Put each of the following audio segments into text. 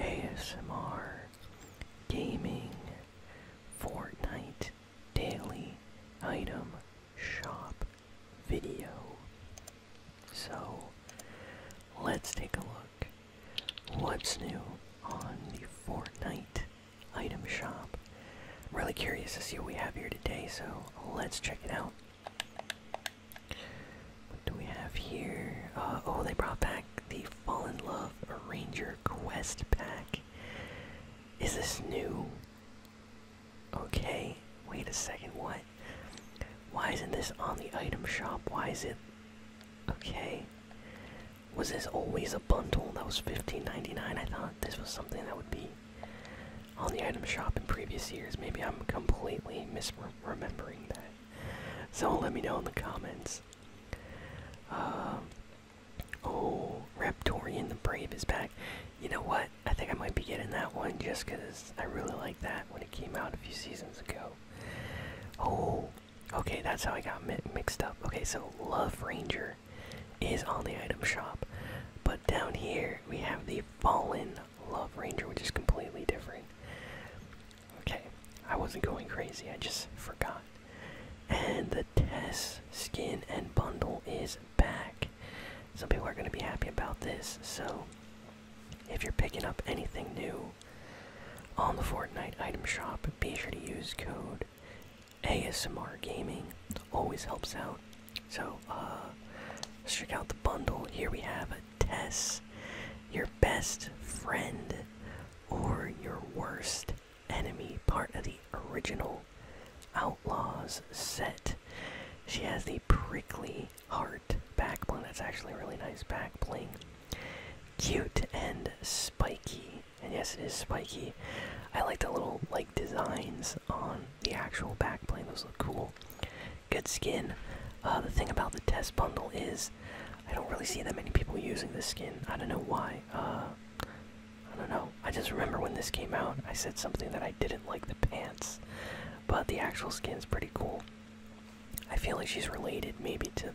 ASMR, gaming, Fortnite, daily item shop video. So let's take a look. What's new on the Fortnite item shop? I'm really curious to see what we have here today, so let's check it out. What do we have here? Uh, oh, they brought back the Fall in Love Ranger Quest Pack. Is this new? Okay, wait a second, what? Why isn't this on the item shop? Why is it. Okay. Was this always a bundle that was $15.99? I thought this was something that would be on the item shop in previous years. Maybe I'm completely misremembering that. So let me know in the comments. Um, oh, Raptorian the Brave is back. You know what? I think I might be getting that one just because I really like that when it came out a few seasons ago. Oh, okay, that's how I got mixed up. Okay, so Love Ranger is on the item shop, but down here we have the Fallen Love Ranger, which is completely different. Okay, I wasn't going crazy, I just forgot. And the Tess skin and bundle is back. Some people are going to be happy about this, so if you're picking up anything new on the Fortnite item shop, be sure to use code ASMR Gaming. Always helps out. So, uh, let's check out the bundle. Here we have tess, your best friend, or your worst enemy, part of the original Outlaws set. She has the prickly heart back bling. That's actually a really nice back bling. Cute and spiky. And yes, it is spiky. I like the little like designs on the actual back bling. Those look cool good skin. Uh, the thing about the test bundle is, I don't really see that many people using this skin. I don't know why. Uh, I don't know. I just remember when this came out, I said something that I didn't like the pants, but the actual skin is pretty cool. I feel like she's related maybe to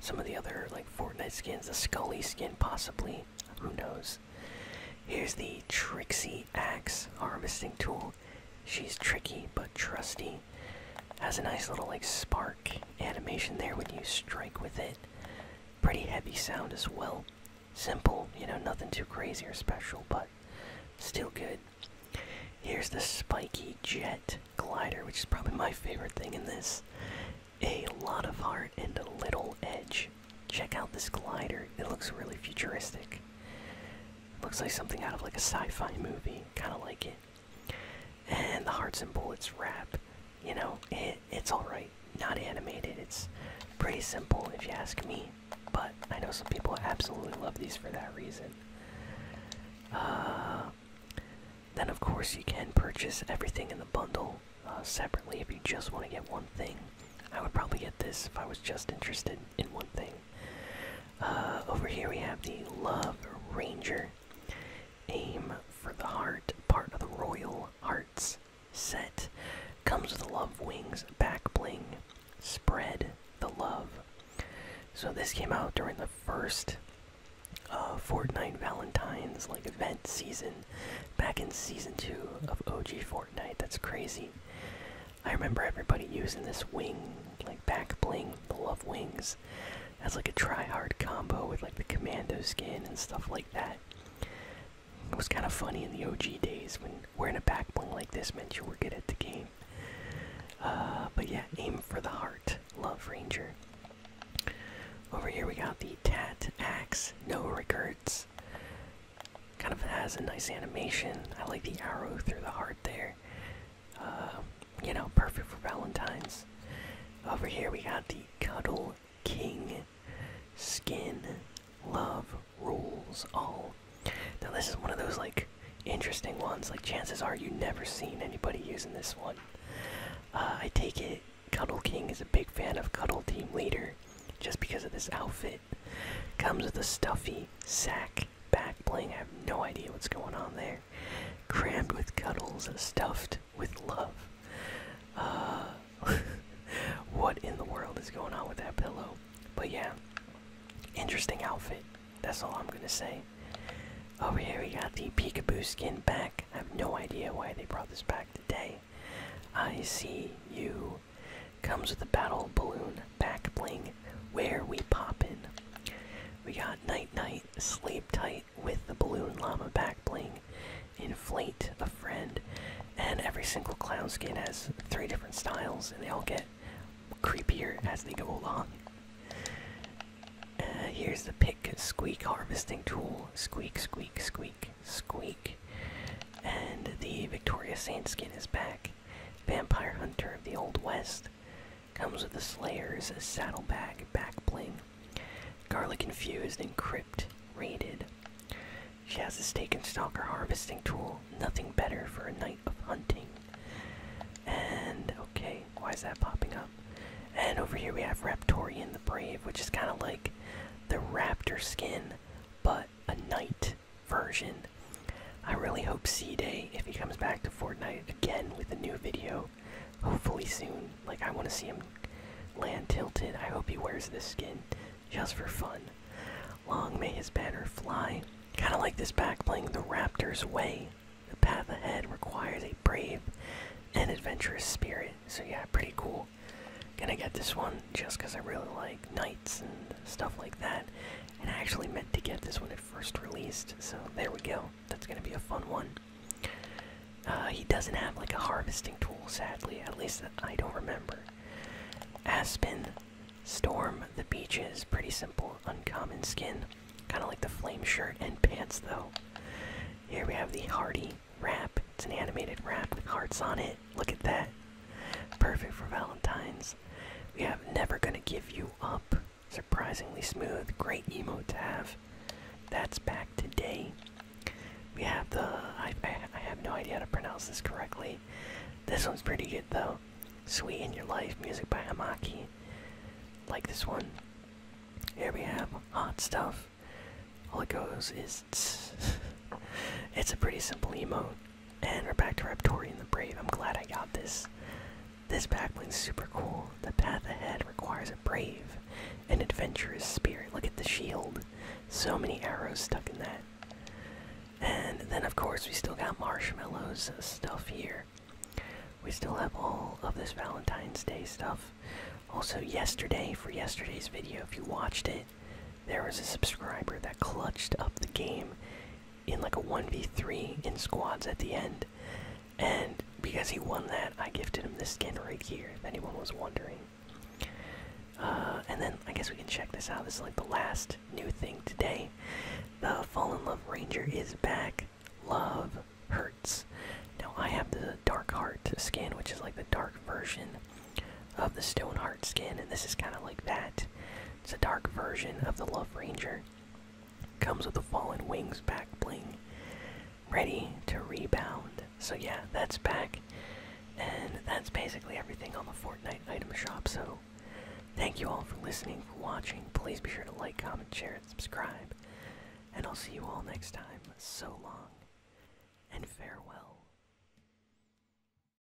some of the other like Fortnite skins, the Scully skin possibly. Who knows? Here's the Trixie Axe harvesting tool she's tricky but trusty. Has a nice little like spark animation there when you strike with it. Pretty heavy sound as well. Simple, you know, nothing too crazy or special, but still good. Here's the spiky jet glider, which is probably my favorite thing in this. A lot of heart and a little edge. Check out this glider, it looks really futuristic. Looks like something out of like a sci-fi movie, kind of like it. And the hearts and bullets wrap, you know, it, it's all right. Not animated. It's pretty simple if you ask me. But I know some people absolutely love these for that reason. Uh, then of course you can purchase everything in the bundle uh, separately if you just want to get one thing. I would probably get this if I was just interested in one thing. Uh, over here we have the Love Ranger. Aim for the Heart, part of the Royal Hearts set. Comes with the Love Wings, back bling. Spread the love. So this came out during the first uh, Fortnite Valentine's like event season, back in season two of OG Fortnite. That's crazy. I remember everybody using this wing, like back bling, the love wings, as like a try hard combo with like the commando skin and stuff like that. It was kind of funny in the OG days when wearing a back bling like this meant you were good at the game. Uh, but yeah, aim for the heart, Love Ranger. Over here we got the Tat Axe, no regrets. Kind of has a nice animation. I like the arrow through the heart there. Uh, you know, perfect for Valentine's. Over here we got the Cuddle King skin. Love rules all. Now this is one of those like interesting ones. Like chances are you never seen anybody using this one. Uh, I take it Cuddle King is a big fan of Cuddle Team Leader, just because of this outfit. Comes with a stuffy sack back bling. I have no idea what's going on there. Crammed with cuddles, stuffed with love. Uh, what in the world is going on with that pillow? But yeah, interesting outfit. That's all I'm gonna say. Over here we got the peekaboo skin back. I have no idea why they brought this back today. I see you comes with a battle balloon back bling where we pop in. We got night night, sleep tight with the balloon llama back bling, inflate a friend, and every single clown skin has three different styles and they all get creepier as they go along. Uh, here's the pick squeak harvesting tool. Squeak, squeak, squeak, squeak. And the Victoria Saint skin is back. Vampire Hunter of the Old West. Comes with the Slayer's saddlebag back bling. Garlic infused and crypt rated. She has a stake and stalker harvesting tool. Nothing better for a night of hunting. And okay, why is that popping up? And over here we have Raptorian the Brave, which is kind of like the raptor skin, but a knight version. I really hope C Day, if he comes back to Fortnite again with a new video, hopefully soon. Like, I want to see him land tilted. I hope he wears this skin just for fun. Long may his banner fly. Kind of like this back playing the Raptors way. The path ahead requires a brave and adventurous spirit. So, yeah, pretty cool. Gonna get this one just because I really like knights and stuff like that. And I actually meant to get this when it first released, so there we go. That's gonna be a fun one. Uh, he doesn't have like a harvesting tool, sadly, at least I don't remember. Aspen, Storm, the Beaches, pretty simple, uncommon skin. Kind of like the flame shirt and pants, though. Here we have the Hardy wrap. It's an animated wrap with hearts on it. Look at that. Perfect for Valentine's this. We have Never Gonna Give You Up. Surprisingly smooth. Great emo to have. That's back today. We have the. I, have no idea how to pronounce this correctly. This one's pretty good though. Sweet in Your Life, music by Amaki. Like this one. Here we have Hot Stuff. All it goes is. It's a pretty simple emo. And we're back to reptorian. the Brave. I'm glad I got this. This backplane's super cool. The path ahead requires a brave an adventurous spirit. Look at the shield. So many arrows stuck in that. And then, of course, we still got marshmallows stuff here. We still have all of this Valentine's Day stuff. Also, yesterday, for yesterday's video, if you watched it, there was a subscriber that clutched up the game in like a 1v3 in squads at the end. And because he won that, I gifted him this skin right here, if anyone was wondering. Uh, and then I guess we can check this out. This is like the last new thing today. The Fallen Love Ranger is back. Love hurts. Now I have the Dark Heart skin, which is like the dark version of the Stone Heart skin, and this is kind of like that. It's a dark version of the Love Ranger. Comes with the Fallen Wings back bling. Ready to rebound. So yeah, that's back. And that's basically everything on the Fortnite item shop. So thank you all for listening, for watching. Please be sure to like, comment, share, and subscribe. And I'll see you all next time. So long and farewell.